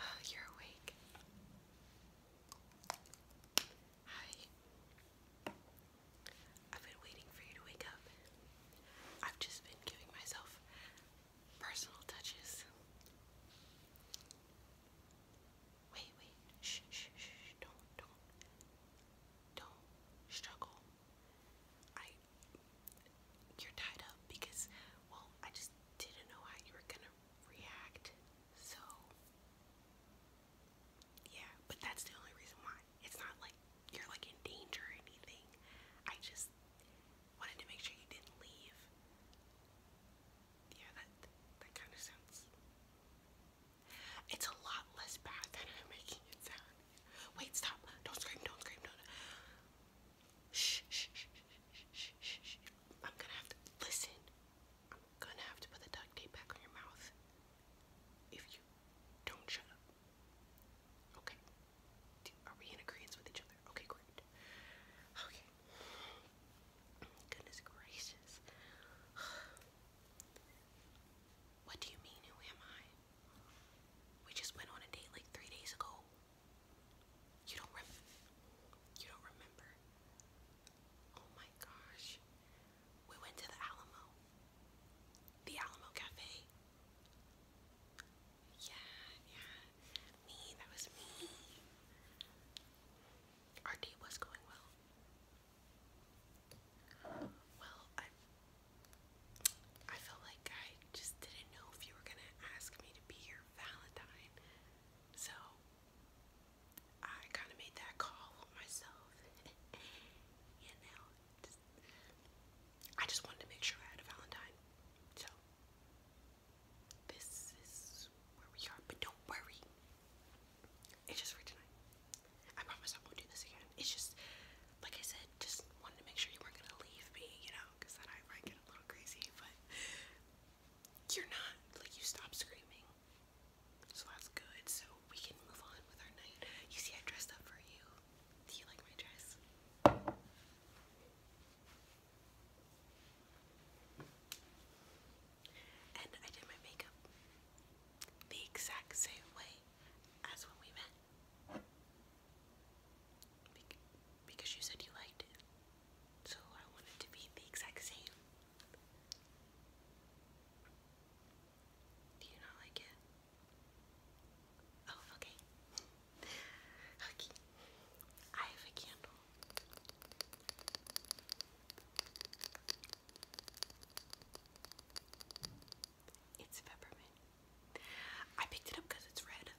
Oh, you're awake. Hi. I've been waiting for you to wake up. I've just been giving myself personal touches. Wait, wait. Shh, shh, shh. Don't, don't, don't struggle. I, you're tied up because, well, I just didn't know how you were gonna react. So, yeah. But that's the only reason why. It's not like you're like in danger or anything. I just wanted to make sure you didn't leave yeah, that that kind of sounds. It's a lot less bad than I'm making it sound. Wait, stop! Don't scream! Don't scream! Don't. Shh! Shh! Shh! Shh! Shh! shh, I'm gonna have to listen. I'm gonna have to put the duct tape back on your mouth if you don't shut up. Okay. Are we in agreement with each other? Okay, great. Okay. Goodness gracious. What do you mean, who am I? We just went on a date like three days ago. You don't rem you don't remember. Oh my gosh. We went to the Alamo. The Alamo Cafe. Yeah, yeah. Me, that was me. Our day was going well. Well, I I felt like I just didn't know if you were gonna ask me to be your Valentine, so I kind of made that call myself. you know, I just wanted to make sure I had a Valentine, so this is where we are, but don't worry. It's just for tonight. I promise I won't do this again. It's just, like I said, just wanted to make sure you weren't gonna leave me, you know, because then I might get a little crazy, but you're not. Like, you stopped screaming. So that's good. So we can move on with our night. You see, I dressed up for you. Do you like my dress? And I did my makeup the exact same way as when we met. because you said you liked it. So I want to be the exact same. Do you not like it? Oh, okay. okay. I have a candle. It's peppermint. I picked it up because it's red.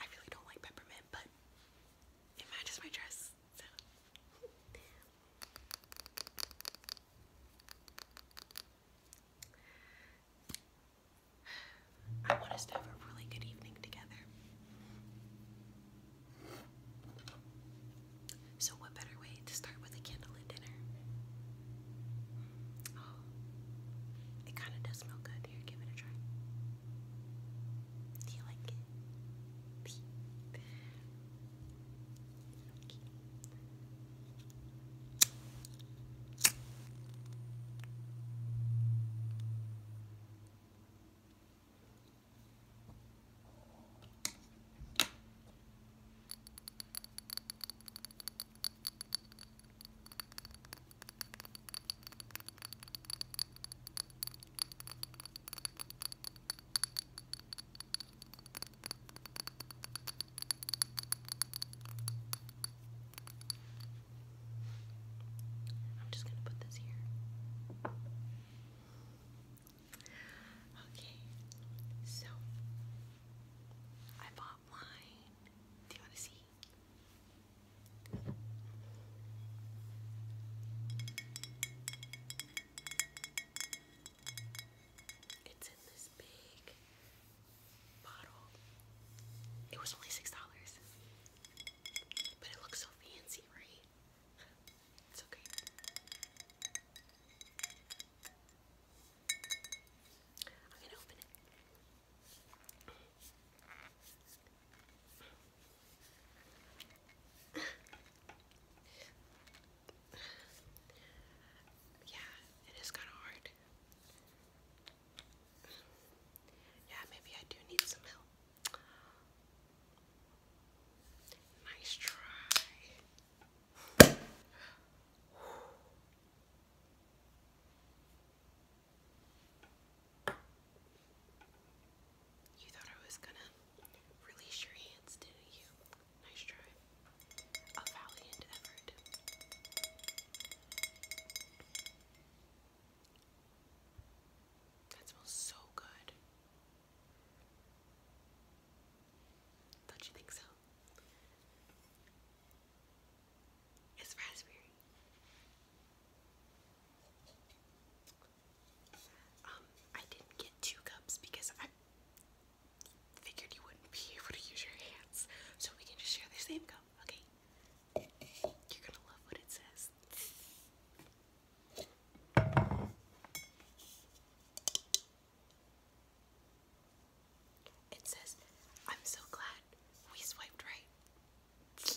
I really don't like peppermint, but it matches my dress. I want us to have a really good evening together. So, what better way to start with a candlelit dinner? Oh, it kind of does smell good. Here, give it a try. Do you like it? I'm just going to put this here. Okay, so I bought wine. Do you want to see? It's in this big bottle. It was only six dollars, but it looks so fancy, right? It's okay. I'm gonna open it. yeah, it is kind of hard. Yeah, maybe I do need some help. Nice try. You thought I was gonna release your hands, didn't you? Nice try. A valiant effort. That smells so good. Don't you think so? It's raspberry. Um, I didn't get two cups because I figured you wouldn't be able to use your hands. So we can just share the same cup, okay? You're gonna love what it says. It says, I'm so glad we swiped right.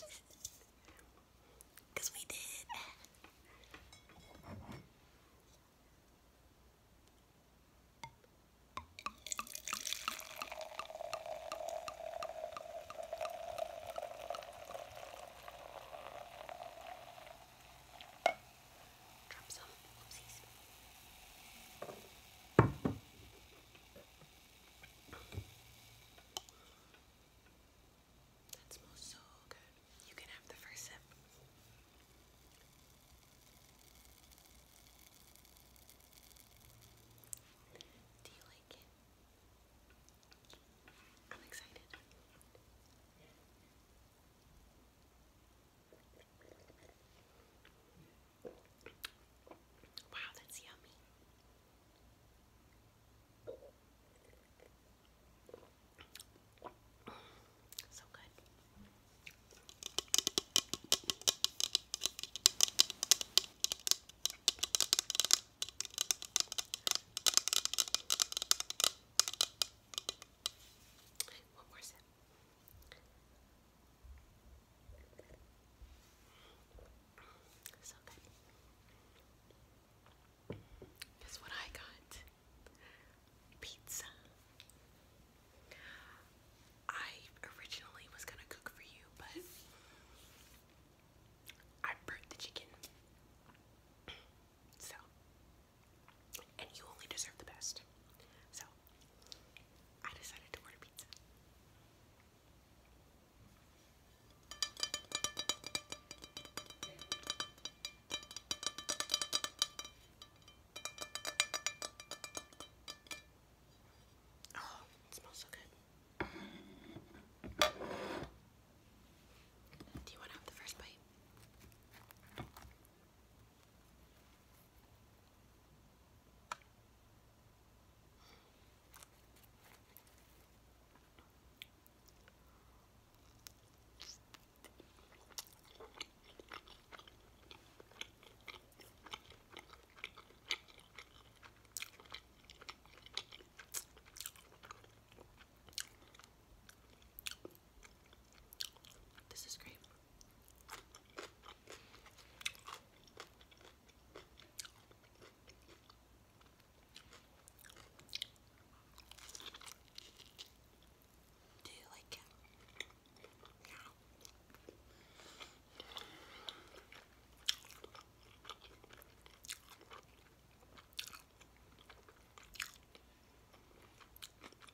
we did. Drop some. Oopsies. That smells so good. You can have the first sip. Do you like it? I'm excited. Wow, that's yummy. So good. One more sip. So Guess what I got? Pizza. I originally was gonna cook for you, but I burnt the chicken. So, and you only deserve the best. So, I decided to order pizza. Oh, it smells so good. Do you want to have the first bite? This is great. Do you like it? Yeah.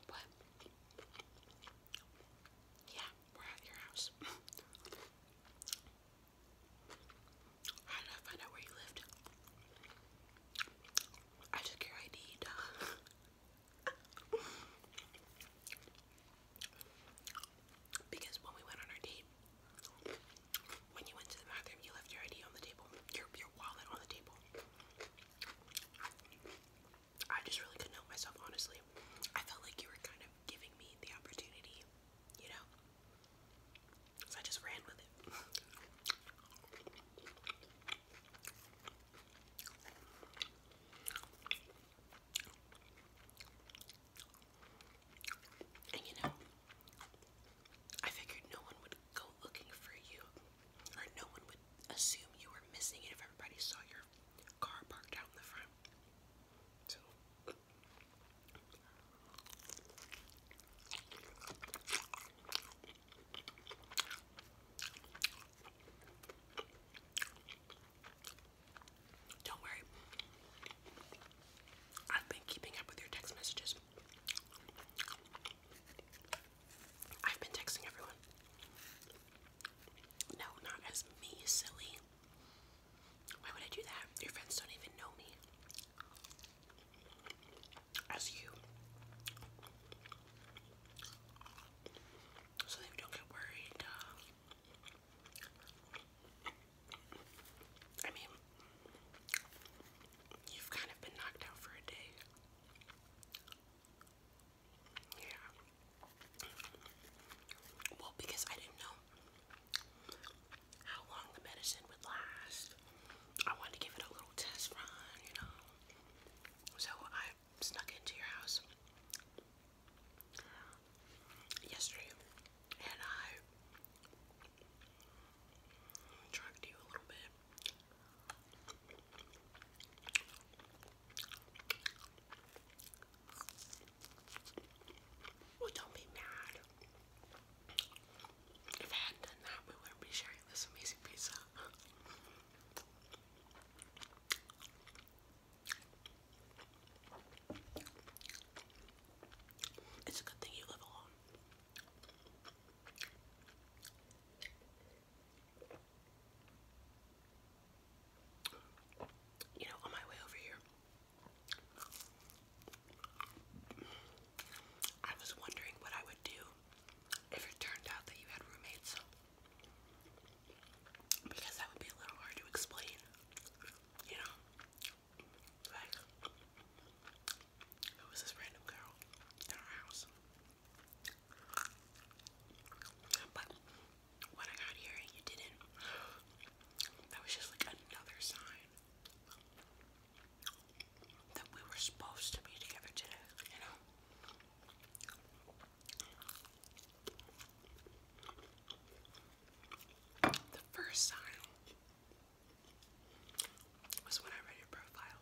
But yeah, we're at your house. How did I find out where you lived? I took your ID, because when we went on our date, when you went to the bathroom, you left your ID on the table, your, your wallet on the table. I just really couldn't help myself, honestly. I felt like you were kind of giving me the opportunity, you know? So I just ran with it. And you know, I figured no one would go looking for you, or no one would assume you were missing if everybody saw your car parked out in the front. Don't worry. I've been keeping up with your text messages. I've been texting everyone. No, not as me, silly. Why would I do that? Your friends don't even know me. As you. So they don't get worried. Uh, I mean, you've kind of been knocked out for a day. Yeah. Well, because I didn't know how long the medicine would last, I wanted to give it a little test run, you know. So I snuck into your house yesterday and I well, don't be mad. If I hadn't done that, we wouldn't be sharing this amazing pizza. It's a good thing you live alone. You know, on my way over here, I was wondering what I would do if it turned out that you had roommates. Because that would be a little hard to explain, you know? Like, who was this random girl in our house? But when I got here you didn't, that was just like another sign that we were supposed to be together today, you know? The first sign was when I read your profile.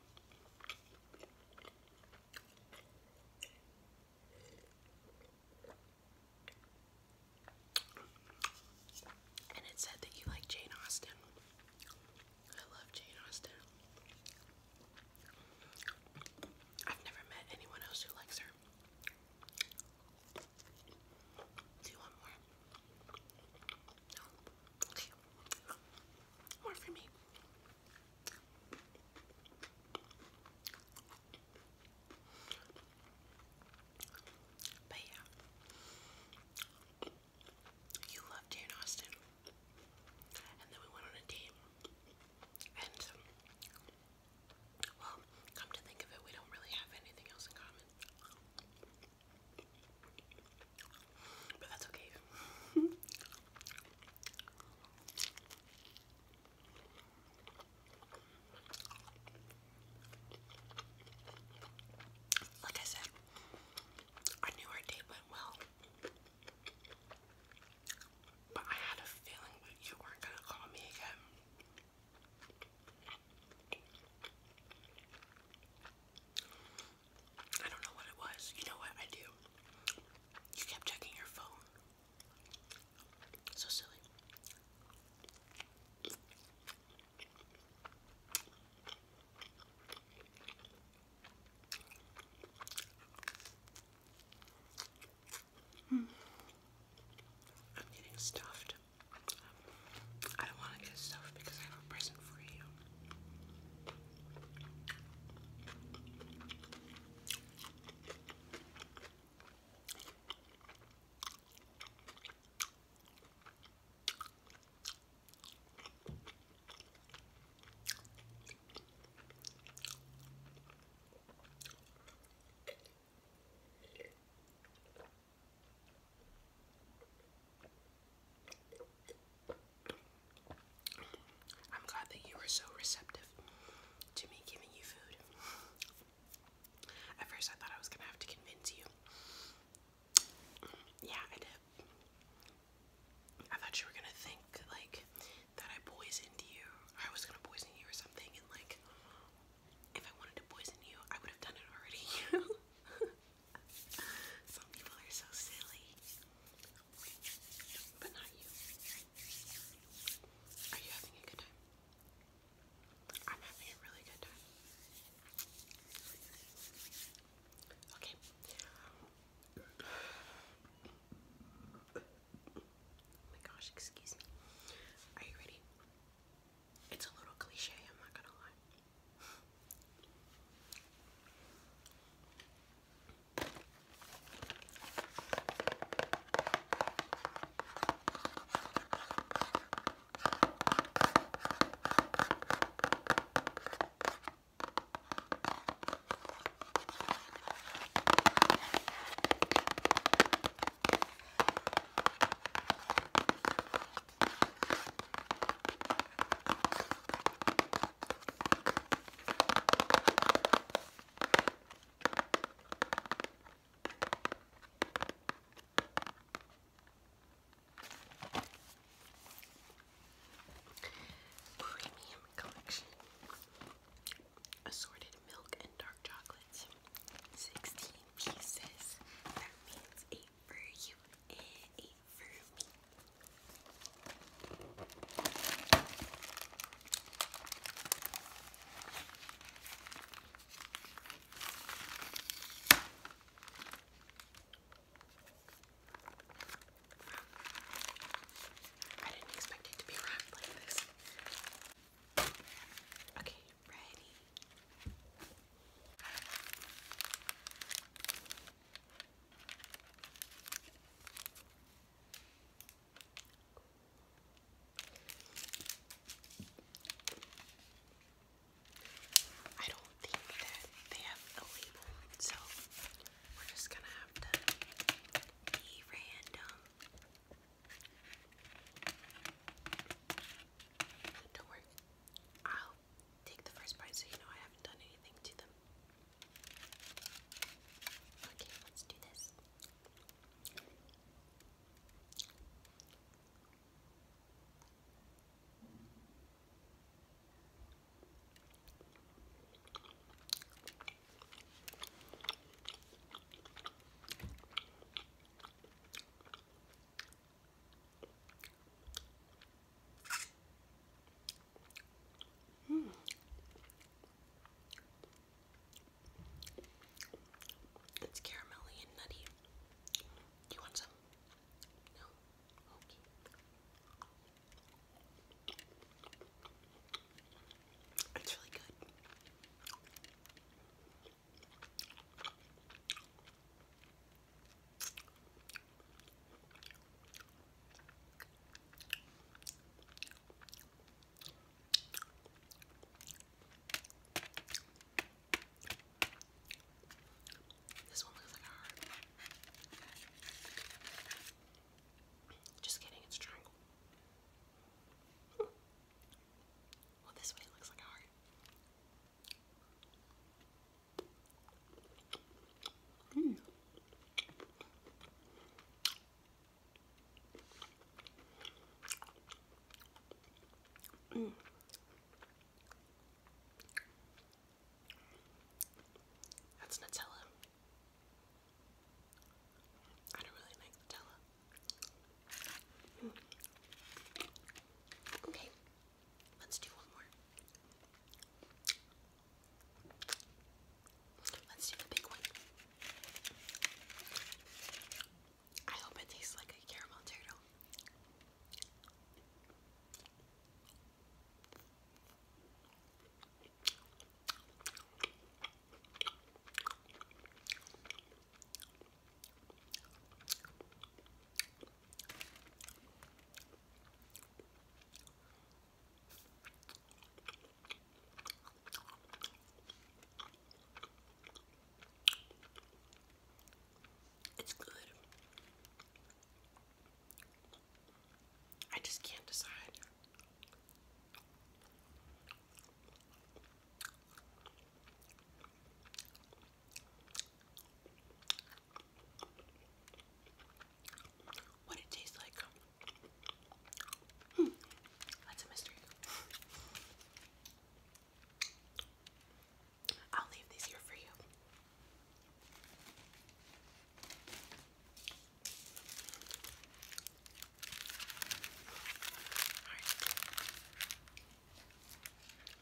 And it said that you like Jane Austen. I love Jane Austen. I've never met anyone else who likes her. Do you want more? No? Okay. More for me. But yeah. You love Jane Austen. And then we went on a date. And, um, well, come to think of it, we don't really have anything else in common. But that's okay. like I said, I knew our date went well. But I had a feeling that you weren't gonna call me again. I don't know what it was. You know what I do? You kept checking your phone. So silly. Hmm. I'm getting stuffed. I don't want to get stuff because I have a present for you. I'm glad that you were so receptive to me giving you food. At first, I thought I was gonna have to convince you. Yeah, I did. I thought you were gonna think like that I poisoned you, I was gonna poison you or something, and like if I wanted to poison you, I would have done it already. Some people are so silly. But not you. Are you having a good time? I'm having a really good time. Okay. Oh my gosh, excuse me. Are you ready? It's a little cliche, I'm not gonna lie. Premium collection. Assorted milk and dark chocolates. 16 pieces. That means a for you and for me. I didn't expect it to be wrapped like this. Okay, you I don't think that they have a label, so we're just gonna have to be random. Don't worry, I'll take the first part so you know I haven't done anything to them. Okay, let's do this. Hmm, It's caramelly and nutty. you want some? No? It's really good. This one looks like a heart. Just kidding, it's a triangle. Well, this way looks like a heart. Mm. Mm. That's Nutella. I don't really like Nutella. Mm. Okay, Let's do one more. Let's do the big one. I hope it tastes like a caramel turtle. It's good. I just can't decide. What it tastes like? Hmm. That's a mystery. I'll leave these here for you.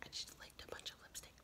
I just licked a bunch of lipstick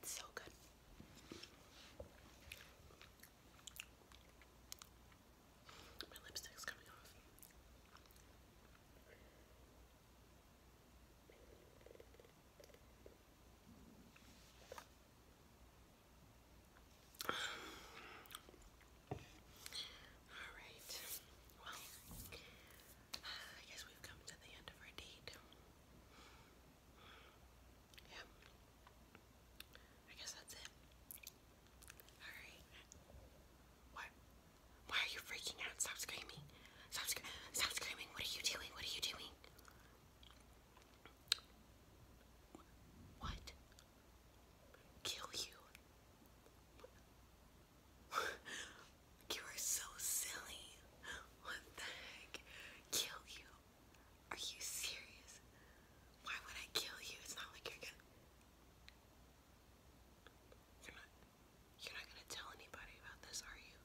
It's so good. My lipstick's coming off. All right. Well, I guess we've come to the end of our date. Yeah. I guess that's it. All right. What? Why are you freaking out? Stop screaming. Stop, sc stop screaming. What are you doing? What are you doing? What? Kill you? you are so silly. What the heck? Kill you? Are you serious? Why would I kill you? It's not like you're You're not. You're not gonna tell anybody about this, are you?